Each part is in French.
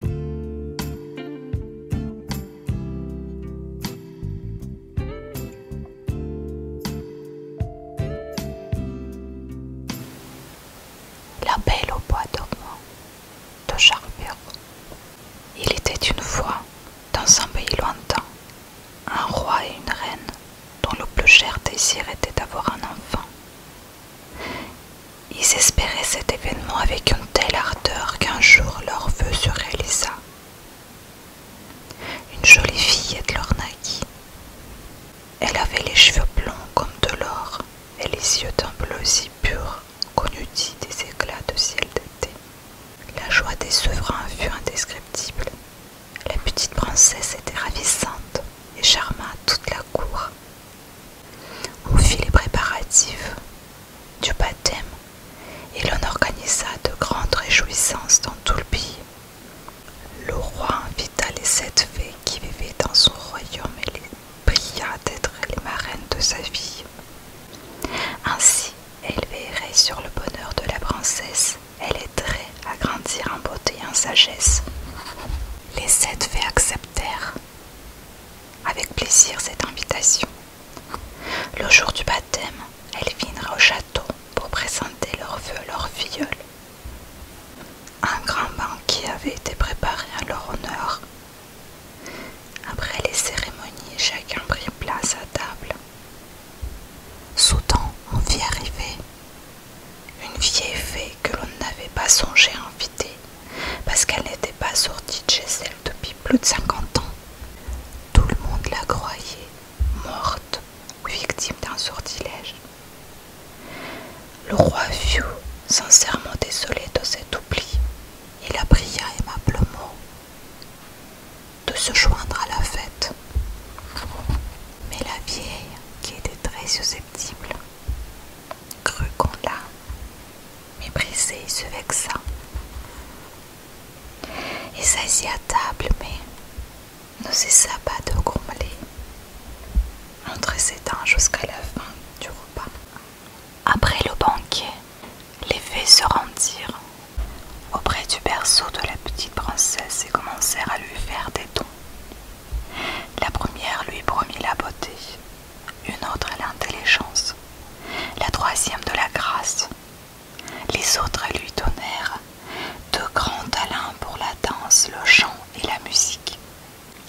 La Belle au bois dormant de Charles Il était une fois, dans un pays lointain, un roi et une reine dont le plus cher désir était d'avoir un enfant. Ils espéraient cet événement avec une telle ardeur qu'un jour leur vœu se réalisa. Une jolie fille de leur naquit. Elle avait les cheveux blonds comme de l'or et les yeux d'un bleu si pur qu'on eût dit des éclats de ciel d'été. La joie des souverains fut indescriptible. La petite princesse était ravissante et charma toute la cour on fit les préparatifs du baptême et l'on organisa de grandes réjouissances dans tout le pays. Le roi invita les sept fées qui vivaient dans son royaume et les pria d'être les marraines de sa vie. Ainsi, elle veillerait sur le bonheur de la princesse, elle aiderait à grandir en beauté et en sagesse. Les sept fées acceptèrent avec plaisir cette invitation. Le jour du baptême, elles vinrent au château pour présenter leurs vœux à leur filleul. Un grand banquet avait été préparé à leur honneur. Après les cérémonies, chacun prit place à table. Soudain, on vit arriver une vieille fée que l'on n'avait pas songé à inviter, parce qu'elle n'était pas sortie de chez elle depuis plus de 50 ans. Tout le monde la croyait morte ou victime d'un sortilège. Le roi fut sincèrement désolé de cet oubli Il la pria aimablement de se joindre à la fête. Mais la vieille, qui était très susceptible, crut qu'on l'a méprisée et se vexa. et s'assit à table, mais ne cessa pas de grommeler, entre ses dents jusqu'à la fin du repas. Après le banquet, les fées se rendirent auprès du berceau de la petite princesse et commencèrent à lui faire des dons. La première lui promit la beauté, une autre l'intelligence, la troisième de la grâce. Les autres lui donnèrent de grands talents pour la danse, le chant et la musique.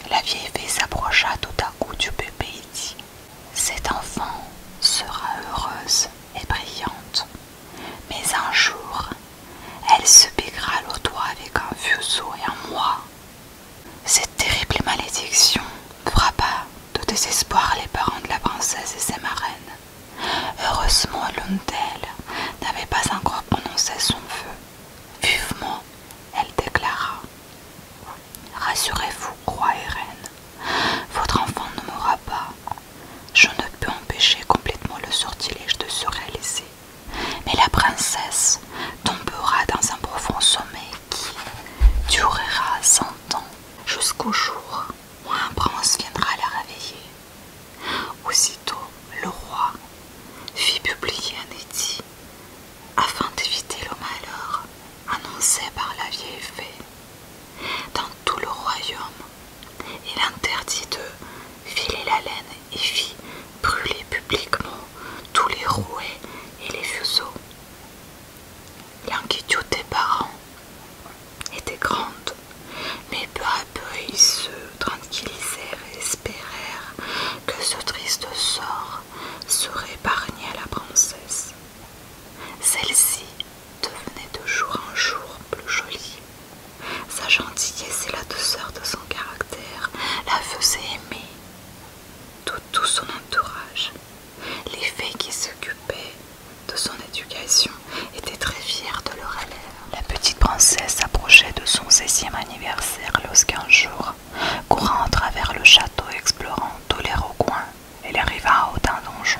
La vieille fée s'approcha tout à coup du bébé et dit Cette enfant sera heureuse et brillante. Mais un jour, elle se piquera le doigt avec un vieux seau et un moi. Cette terrible malédiction frappa de désespoir les parents de la princesse et ses marraines. Heureusement, l'une d'elles n'avait pas encore prononcé son feu. Vivement, elle déclara Rassurez-vous, roi et reine, votre enfant ne mourra pas. Je ne peux empêcher complètement le sortilège de se réaliser. Mais la princesse tombera dans un profond sommeil qui durera cent ans jusqu'au jour où un prince viendra la réveiller. Aussitôt, le roi fit publier un édit afin d'éviter le malheur annoncé par la vieille fée dans tout le royaume. Il interdit de filer la laine et fit brûler publiquement tous les rouets et les fuseaux. L'inquiétude des parents était grande, mais peu à peu ils se tranquillisèrent et espérèrent que ce triste sort serait épargné à la princesse. Celle-ci devenait de jour en jour plus jolie. Sa gentillesse et la douceur de son caractère la faisaient aimer de tout son entourage. Les fées qui s'occupaient de son éducation étaient très fiers de leur élève. La petite princesse approchait de son 16e anniversaire lorsqu'un jour, courant à travers le château, explorant tous les recoins, elle arriva au d'un donjon.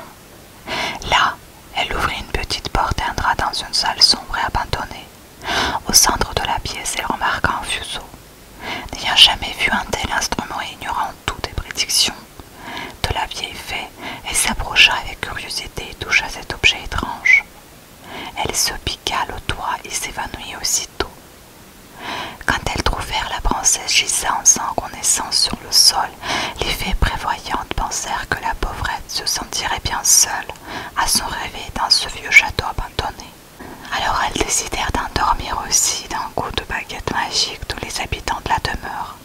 Là, elle ouvrit une petite porte et entra dans une salle sombre et abandonnée. Au centre de la pièce, elle remarqua un fuseau. N'ayant jamais vu un tel instrument et ignorant toutes les prédictions de la vieille fée, elle s'approcha avec curiosité et toucha cet objet étrange. Elle se piqua le doigt et s'évanouit aussitôt. Quand elles trouvèrent la princesse gisant sans connaissance sur le sol, les fées prévoyantes pensèrent que la pauvrette se sentirait bien seule à son réveil dans ce vieux château abandonné. Alors elles décidèrent d'endormir aussi d'un coup de baguette magique tous les habitants de la demeure.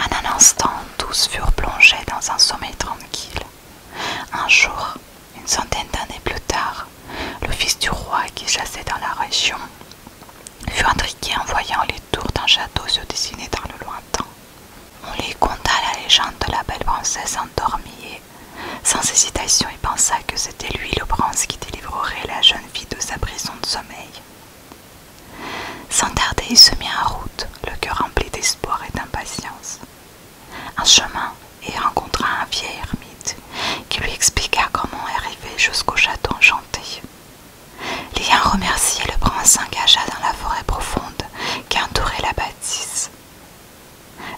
En un instant, tous furent plongés dans un sommeil tranquille. Un jour, une centaine d'années plus tard, le fils du roi qui chassait dans la région fut intrigué en voyant les tours d'un château se dessiner dans le lointain. On lui conta la légende de la belle princesse endormie et, sans hésitation, il pensa que c'était lui le prince qui délivrerait la jeune fille de sa prison de sommeil. Sans tarder, il se mit en route, le cœur rempli d'espoir et d'impatience un chemin et rencontra un vieil ermite qui lui expliqua comment arriver jusqu'au château enchanté. Lien remercié le prince s'engagea dans la forêt profonde qui entourait la bâtisse.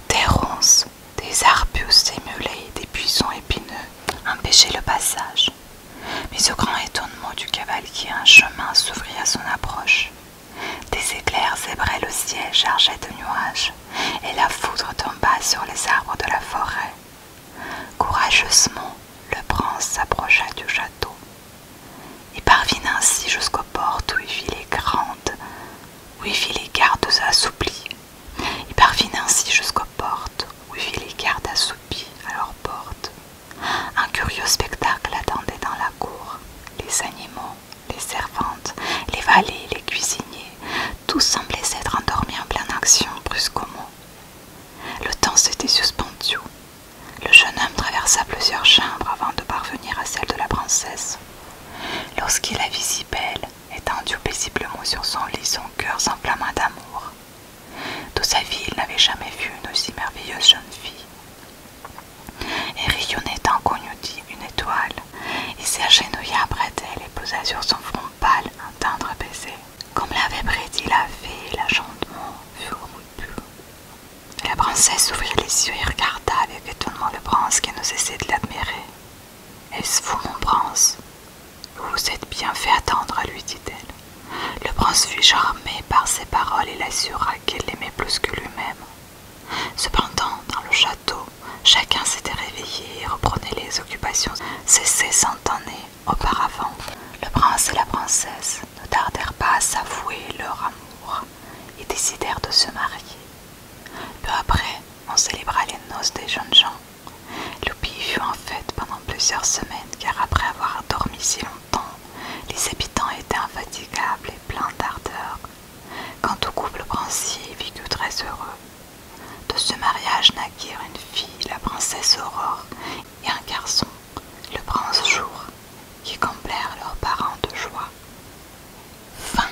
Des ronces, des arbustes émulés et des buissons épineux empêchaient le passage. Mais au grand étonnement du cavalier, un chemin s'ouvrit à son approche. Des éclairs zébraient le ciel chargé de nuages, et la foudre tomba sur les arbres de la forêt. Courageusement, le prince s'approcha du château. Il parvint ainsi jusqu'aux portes où il vit les grandes, où il vit les gardes assouplies. Il parvint ainsi jusqu'aux portes où il vit les gardes assoupies à leurs portes. Un curieux spectacle attendait dans la cour. Les animaux, les servantes, les valets, les cuisiniers, tout semblaient s'être endormis en pleine action brusquement. Le temps s'était suspendu. Le jeune homme traversa plusieurs chambres avant de parvenir à celle de la princesse. Lorsqu'il la vit si belle, étendue paisiblement sur son lit, son cœur s'enflamma d'amour. De sa vie, il n'avait jamais vu une aussi merveilleuse jeune fille. Et en cognotit une étoile. Il s'agenouilla après d'elle et posa sur son front pâle un tendre baiser. Comme l'avait prédit la fée, la fut rompu. La princesse ouvrit les yeux et regarda avec étonnement le prince qui ne cessait de l'admirer. Est-ce vous, mon prince Vous vous êtes bien fait attendre, lui dit-elle. Le prince fut charmé par ses paroles et l'assura qu'elle l'aimait plus que lui-même. Cependant, dans le château, chacun s'était réveillé et reprenait les occupations cessées cent années auparavant. Le prince et la princesse ne tardèrent pas à s'avouer leur amour et décidèrent de se marier. Peu après, on célébra les noces des jeunes gens. Loupi fut en fête pendant plusieurs semaines car après avoir dormi si longtemps, les habitants étaient infatigables et pleins d'ardeur. Quant au couple princier, ils vécut très heureux. De ce mariage naquirent une fille, la princesse Aurore, et un garçon, le prince Jour, qui complèrent leurs parents de joie. Fin.